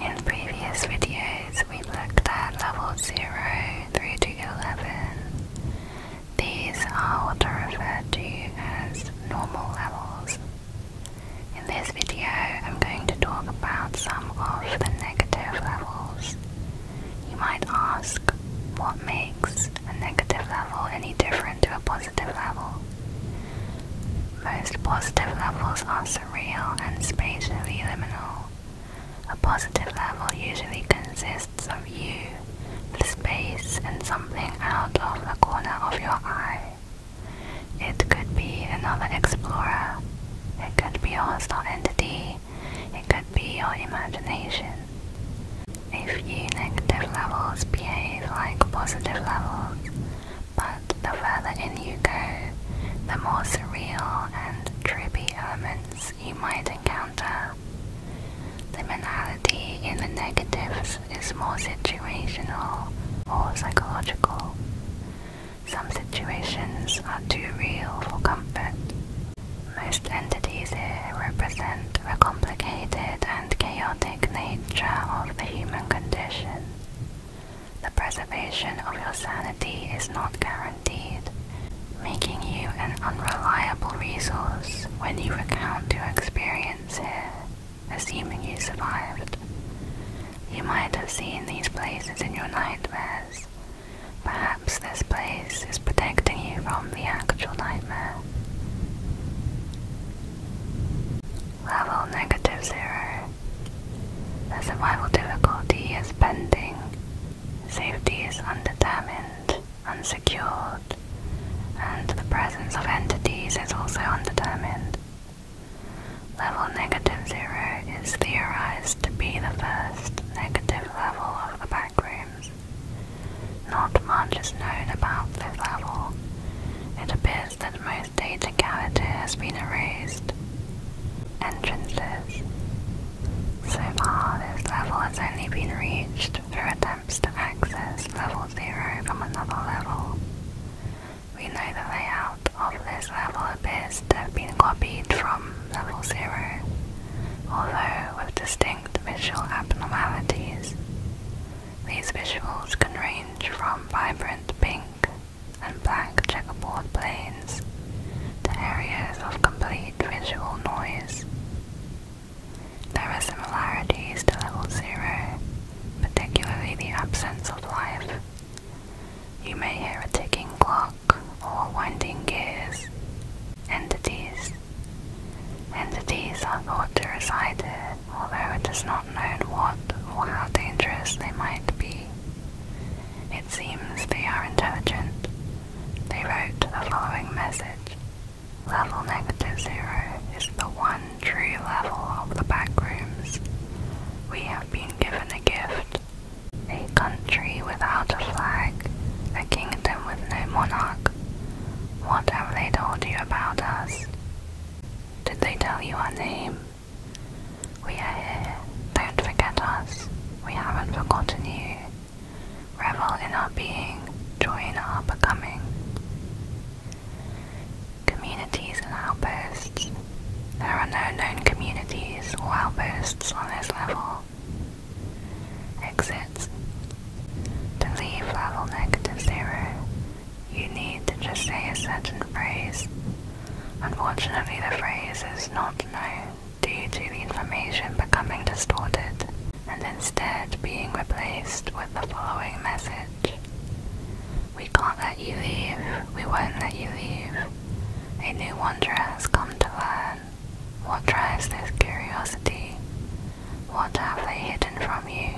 In previous videos, we looked at level 0 through to 11. These are what referred to as normal levels. In this video, I'm going to talk about some of the negative levels. You might ask, what makes a negative level any different to a positive level? Most positive levels are surreal and spatially liminal. A positive level usually consists of you, the space, and something out of the corner of your eye. It could be another explorer, it could be a hostile entity, it could be your imagination. If you negative levels behave like positive levels, but the further in you go, the more surreal and trippy elements you might encounter. The mentality in the negatives is more situational or psychological. Some situations are too real for comfort. Most entities here represent the complicated and chaotic nature of the human condition. The preservation of your sanity is not guaranteed, making you an unreliable resource when you recount your experience here, assuming you survived. You might have seen these places in your nightmares. Perhaps this place is protecting you from the actual nightmare. Level negative zero. The survival difficulty is pending. Safety is undetermined, unsecured, and the presence of entities is also undetermined. Level negative zero is theorized to be the first negative level of the backrooms. Not much is known about this level. It appears that most Data legality has been erased. Entrances. So far, this level has only been reached through attempts to access level 0 from another level. We know the layout of this level appears to have been copied from level 0, although with distinct visual abnormalities. These visuals can range from vibrant pink and blank checkerboard planes to areas of complete visual noise. There are similarities to level zero, particularly the absence of life. You may hear a ticking clock or winding gears. Entities. Entities are thought to reside there, although it is not known what or how dangerous they might be. It seems they are intelligent. They wrote the following message. Level negative zero is the one true level of the back rooms. We have been given a gift. A country without a flag, a kingdom with no monarch. What have they told you about us? Did they tell you our name? We are here. Don't forget us. We haven't forgotten you. Revel in our being. Join our becoming. Communities and outposts. There are no known communities or outposts on this level. Exits. To leave level negative zero, you need to just say a certain phrase Unfortunately, the phrase is not known due to the information becoming distorted and instead being replaced with the following message We can't let you leave, we won't let you leave. A new wanderer has come to learn. What drives this curiosity? What have they hidden from you?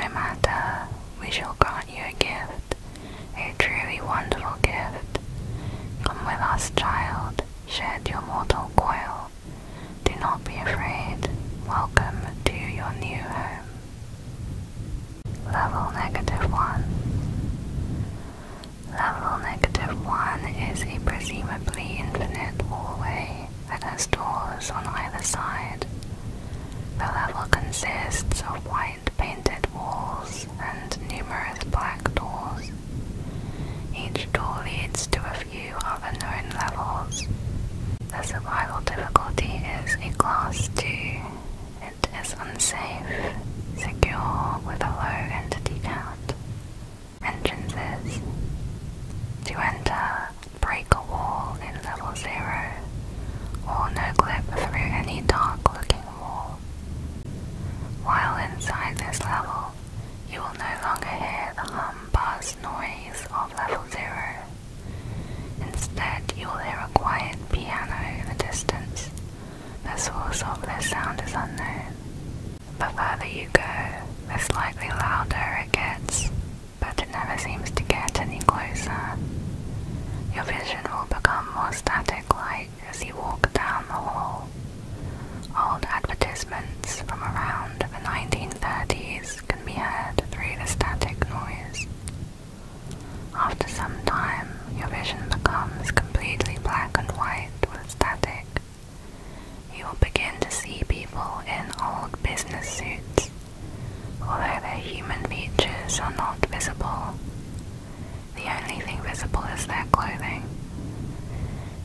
No matter, we shall grant you a gift a truly wonderful gift. Come with us, child, shed your mortal coil. Do not be afraid. Welcome to your new home. Level negative one. Level negative one is a presumably infinite hallway that has doors on either side. The level consists of white painted walls and numerous black doors. Each door leads to a few other known levels. The survival difficulty is a class 2. It is unsafe, secure with a low entity count. Entrances. To enter, break a wall in level 0 or no clip through any dark looking while inside this level, you will no longer hear the hum buzz noise of level zero. Instead, you will hear a quiet piano in the distance. The source of this sound is unknown. The further you go, the slightly louder it gets, but it never seems to get any closer. Your vision will become more more static light as he walked down the hall. Old advertisements from around the 1930s can be heard through the static noise. After some time, your vision becomes completely black and white with static. You will begin to see people in old business suits. Although their human features are not visible, the only thing visible is their clothing.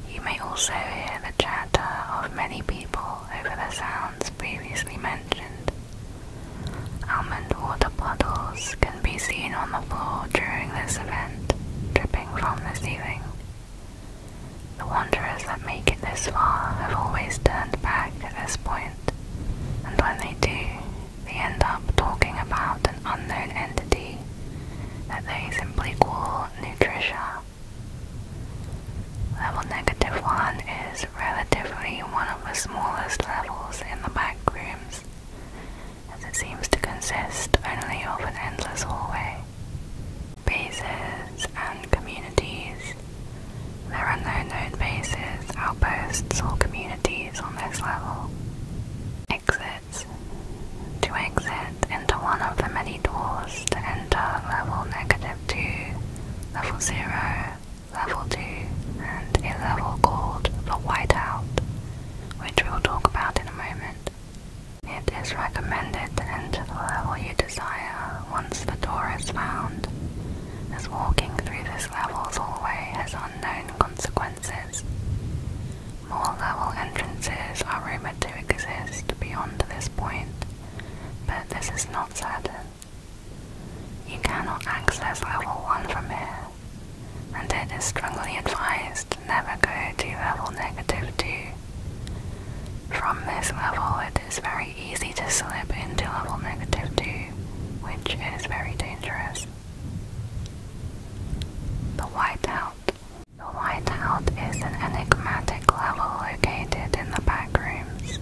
You may also hear the chatter of many people over the sounds previously mentioned. Almond water puddles can be seen on the floor during this event, dripping from the ceiling. The wanderers that make it this far have always turned back at this point, and when they do, they end up talking about an unknown entity that they simply call Nutritia. Level negative 1 is relatively one of the smallest levels in the back rooms, as it seems to consist only of an endless hallway. Bases and communities. There are no known bases, outposts, or communities on this level. Exits. To exit into one of the many doors to enter level negative 2, level 0, level 2, and a level called the Whiteout, which we'll talk about in a moment. It is recommended to enter the level you desire once the door is found, as walking through this level's hallway has unknown consequences. More level entrances are rumoured to exist beyond this point, but this is not certain. You cannot access level 1 from here, and it is strongly advised to never go to level negative 2. From this level, it is very easy to slip into level negative 2, which is very dangerous. The Whiteout. The Whiteout is an enigmatic level located in the back rooms.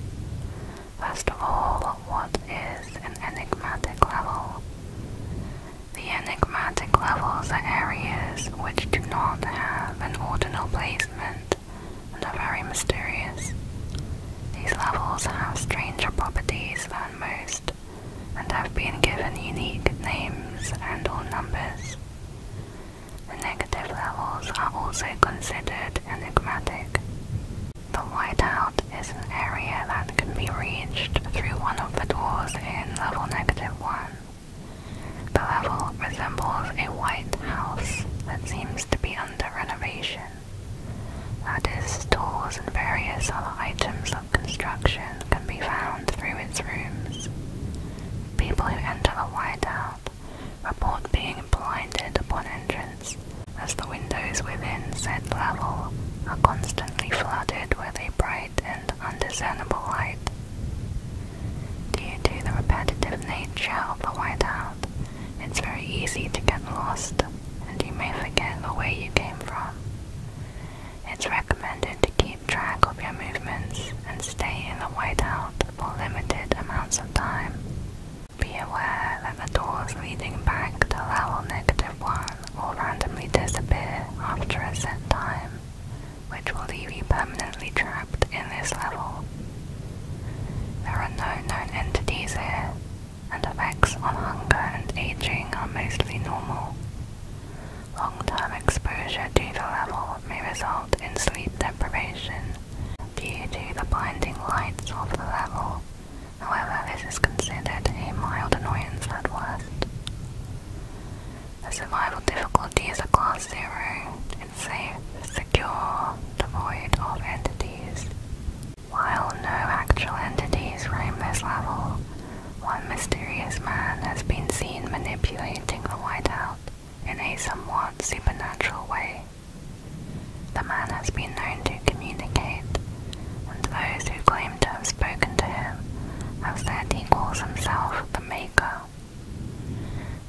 First of all, what is an enigmatic level? The enigmatic levels are areas which do not have an ordinal placement and are very mysterious. These levels have stranger properties than most and have been given unique names and all numbers. The negative levels are also considered enigmatic. The whiteout is an area that can be reached through one of the doors in level negative 1. The level resembles a white house that seems to be under renovation. That is, doors and various other items of construction can be found through its rooms. People who enter the whiteout report being blinded upon entrance, as the windows within said level are constantly flooded with a bright and undiscernible light. Due to the repetitive nature of the whiteout, it's very easy to get lost and you may forget the way you came from. It's recommended to keep track of your movements and stay in the whiteout for limited amounts of time. Be aware that the doors leading back to level negative 1 will randomly disappear after a set time, which will leave you permanently trapped in this level. There are no known entities here, and effects on hunger and aging are mostly normal. Long-term exposure to the level may result in sleep deprivation due to the blinding lights of the level. However, this is considered a mild annoyance at worst. The survival difficulties are class 0. It's safe, secure, devoid of entities. While no actual entities roam this level, one mysterious man has been seen manipulating the whiteout in a somewhat supernatural way. The man has been known to communicate, and those who claim to have spoken to him have said he calls himself the Maker.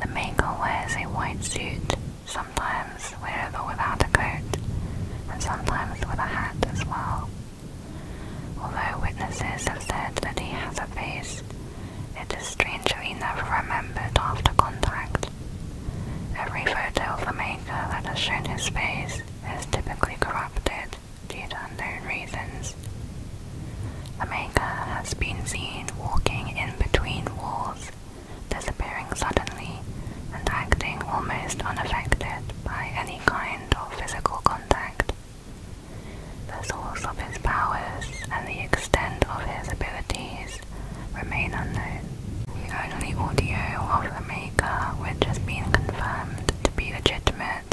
The Maker wears a white suit, sometimes with or without a coat, and sometimes with a hat as well. Although witnesses have said that he has a face, it is strangely never remembered after contact. Every photo of the maker that has shown his face has typically corrupted due to unknown reasons. The maker has been seen walking in between walls, disappearing suddenly, and acting almost unaffected by any kind of physical contact. The source of his powers and the extent of his abilities remain unknown. The only audio of the Maker which has been confirmed to be legitimate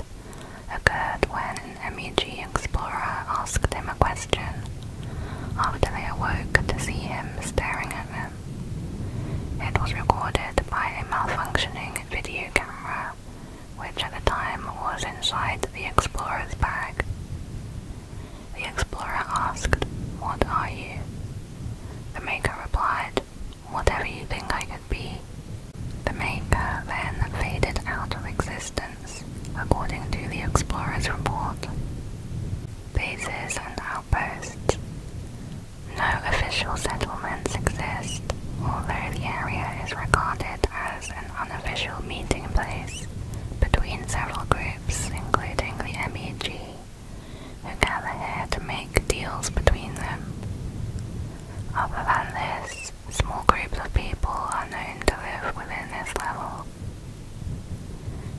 occurred when an MEG explorer asked him a question after they awoke to see him staring at them. It was recorded by a malfunctioning video camera, which at the time was inside the explorer's bag. The explorer asked, What are you? The maker replied, Whatever you think I could be. The maker then faded out of existence, according to the explorer's report. Bases and outposts. No official settlements exist, although the area is regarded as an unofficial meeting place between several groups, including the MEG, who gather here to make deals between them. Other than this, small groups of people are known to live within this level.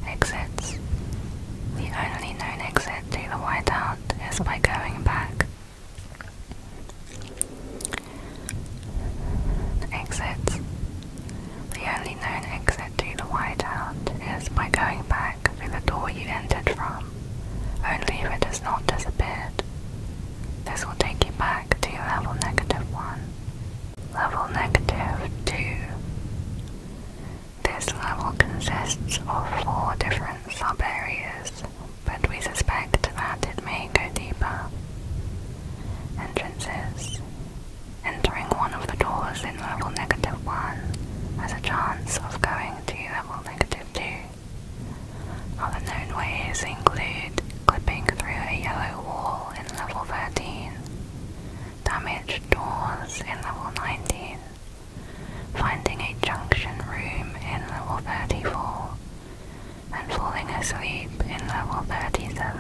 Exits. The only known exit to the White House is by going back. Exit. The only known exit to the whiteout is by going back through the door you entered from, only if it has not disappeared. This will take you back to level negative 1. Level negative 2. This level consists of four different sub-areas, but we suspect that it may go deeper. Entrances. Entering one of the doors in level negative 1 has a chance of going to level negative 2. Other known ways include clipping through a yellow wall in level 13, damaged doors in level 19, finding a junction room in level 34 and falling asleep in level 37.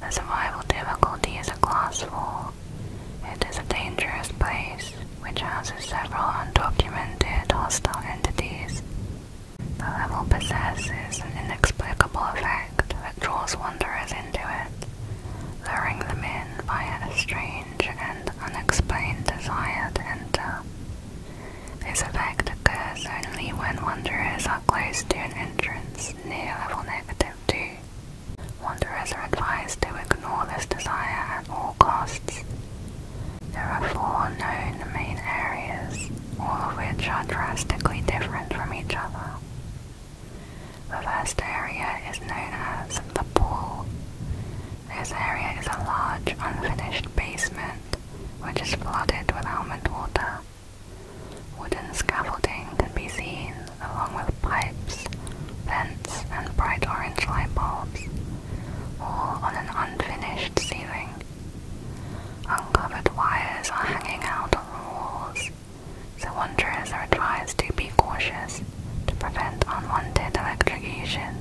The survival difficulty is a class 4. It is a dangerous place which houses several undocumented hostile entities. The level possesses an inexplicable effect that draws wanderers into it, luring them in by an strange strange and unexplained desire to enter. This effect occurs only when wanderers are close to an entrance near level negative 2. Wanderers are advised to ignore this desire at all costs. There are four known main areas, all of which are drastically different from each other. The first area is known as the pool. This area is a large unfinished basement which is flooded with almond water. Wooden scaffolding can be seen along with pipes, vents, and bright orange light bulbs, all on an unfinished ceiling. Uncovered wires are hanging out on the walls, so wanderers are advised to be cautious to prevent unwanted electrocution.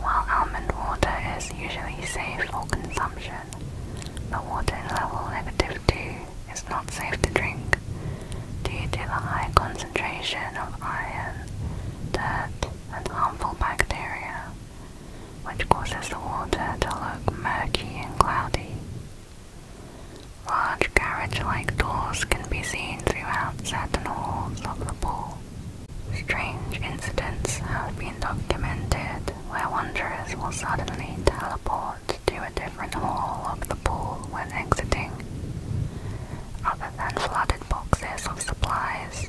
While almond water is usually safe for consumption, the water in level negative 2 is not safe to drink due to the high concentration of iron, dirt, and harmful bacteria, which causes the water to look murky and cloudy. Large carriage-like doors can be seen throughout certain halls of the pool. Strange incidents have been documented where wanderers will suddenly teleport to a different hall of the pool when exiting. Other than flooded boxes of supplies,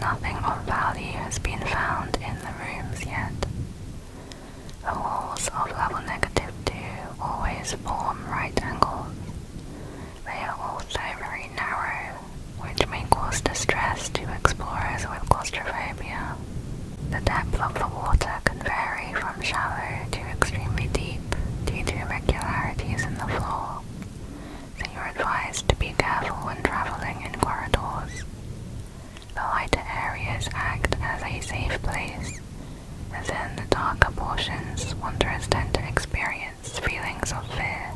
nothing of value has been found in the rooms yet. The walls of level negative 2 always form right angles. They are also very narrow, which may cause distress to explorers with claustrophobia. The depth of the water can vary from shallow to extremely deep due to irregularities in the floor, so you're advised to be careful when traveling in corridors. The lighter areas act as a safe place as in the darker portions, wanderers tend to experience feelings of fear.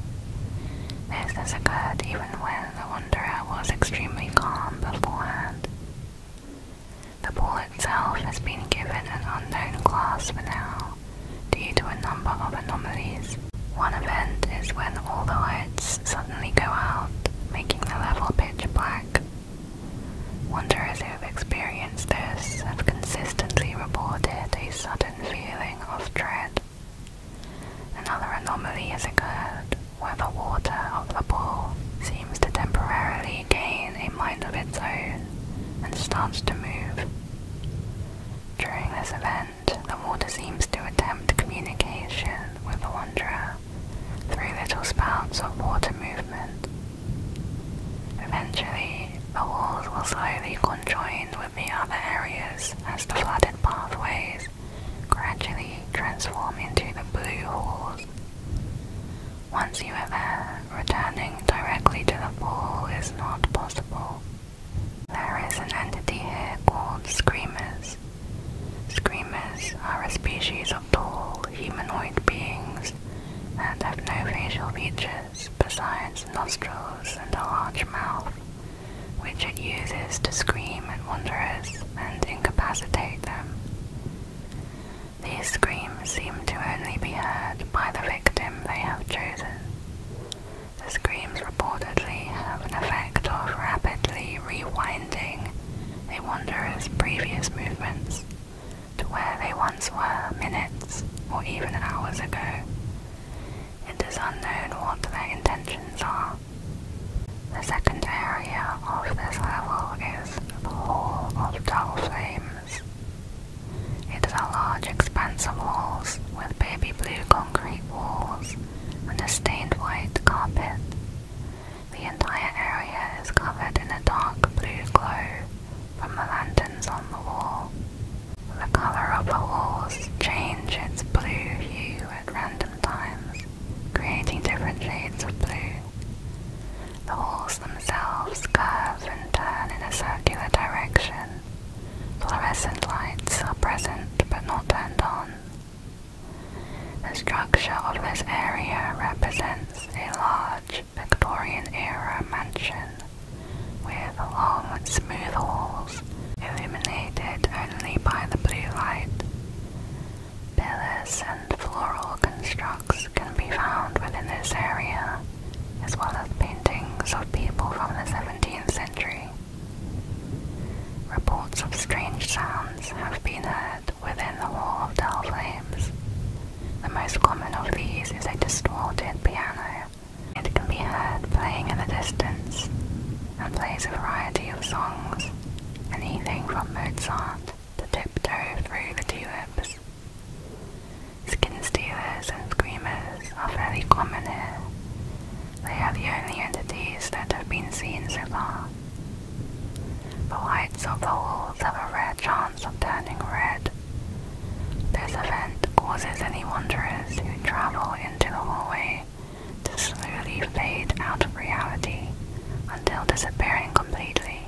This has occurred even when the wanderer was extremely calm beforehand. The ball itself has been given an unknown class for now, due to a number of anomalies. One event is when all the lights suddenly go out, making the level pitch black. Wanderers who have experienced this have consistently reported a sudden feeling of dread. Another anomaly has occurred where the water of the pool seems to temporarily gain a mind of its own and starts to move. During this event, the water seems to attempt communication with the wanderer through little spouts of water movement Eventually, the walls will slowly conjoin with the other areas as the flooded pathways gradually transform into the blue halls. Once you are there, returning directly to the pool is not possible. There is an entity here called Screamers. Screamers are a species of tall humanoid beings that have no facial features besides nostrils and a large mouth, which it uses to scream at wanderers and incapacitate them. These screams seem to only be heard by the victim they have chosen. The screams reportedly have an effect of rapidly rewinding a wanderer's previous movements, to where they once were minutes or even hours ago. It is unknown what their intentions are. The second area of this level is the Hall of Dull Flames. It is a large expanse of halls with baby blue concrete walls and a stained white carpet. The entire area is covered in a dark blue glow from the lanterns on the wall. The color of the walls change its blue hue at random times, creating different shades of blue. The walls themselves curve and turn in a circular direction. Fluorescent lights are present but not turned on. The structure of this area represents a large large Victorian-era mansion with long, smooth walls illuminated only by the blue light. Pillars and floral constructs can be found within this area, as well as paintings of people from the 17th century. Reports of strange sounds have been heard within the wall of Dell Flames, the most common of these is a distorted piano. It can be heard playing in the distance and plays a variety of songs, anything from Mozart to tiptoe through the tulips. Skin stealers and screamers are fairly common here. They are the only entities that have been seen so far. The lights of the walls have a rare chance of turning red this event causes any wanderers who travel into the hallway to slowly fade out of reality until disappearing completely.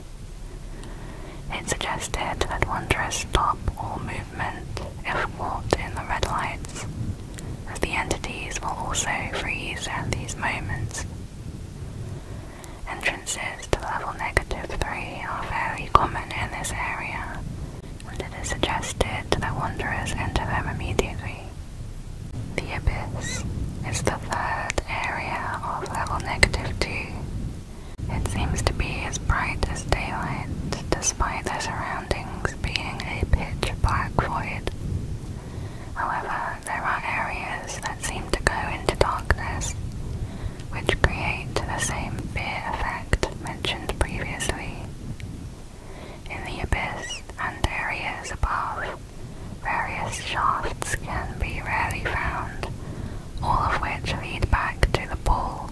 It suggested that wanderers stop all movement if caught in the red lights, as the entities will also freeze at these moments. Entrances to level negative 3 are fairly common in this area, and it is suggested that wanderers enter them immediately. The Abyss is the third area of level negative 2. It seems to be as bright as daylight, despite the surroundings being a pitch black void. However, there are areas that seem to go into darkness, which create the same fear effect mentioned previously. In the abyss and areas above, various shafts can be rarely found, all of which lead back to the pool.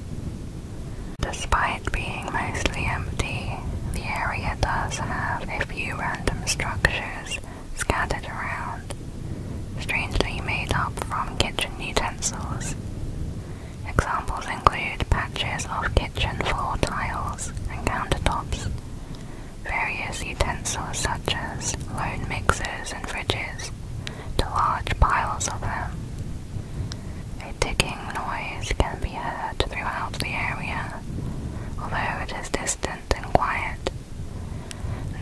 Despite being mostly empty, the area does have a few random structures scattered around, strangely made up from kitchen utensils. Examples include patches of kitchen floor tiles and countertops, various utensils such as lone mixers and fridges, to large piles of them. A ticking noise can be heard throughout the area, although it is distant and quiet.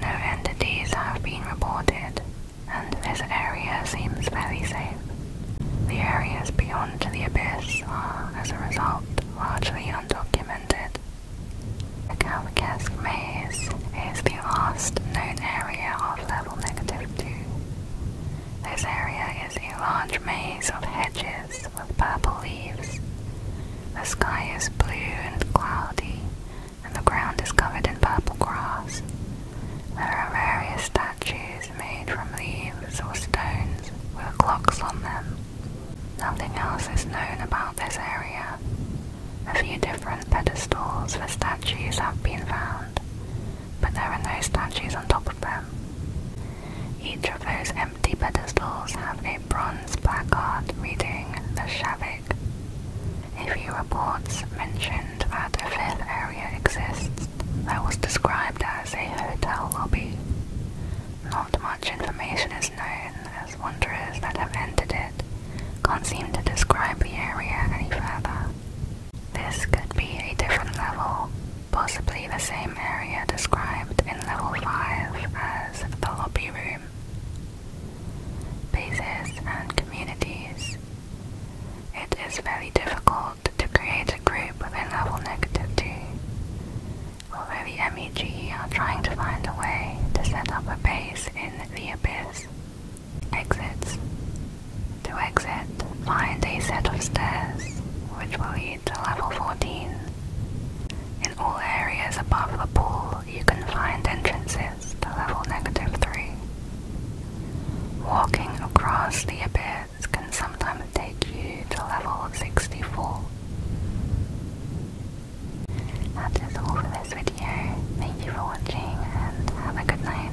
No entities have been reported, and this area seems very safe. The areas beyond the abyss are, as a result, largely undocumented. The Kafkaesque Maze is the last known area of level negative 2. This area is a large maze of hedges with purple leaves. The sky is blue and cloudy, and the ground is covered in purple grass. There are various statues made from leaves or stones with clocks on them. Nothing else is known about this area. A few different pedestals for statues have been found, but there are no statues on top of them. Each of those empty pedestals have a bronze placard reading the Shavik. A few reports mentioned that a fifth area exists that was described as a hotel lobby. Not much information is known as wanderers that have entered it can't seem to describe the area any further. This could be a different level, possibly the same area described in level 5 as the lobby room bases and communities. It is very difficult to create a group within level negative 2, although the MEG are trying to find a way to set up a base in the abyss. Exits. To exit, find a set of stairs, which will lead to level 14. In all areas above the pool, you can find entrances to level negative 3. Walking across the abyss can sometimes take you to level 64. That is all for this video. Thank you for watching and have a good night.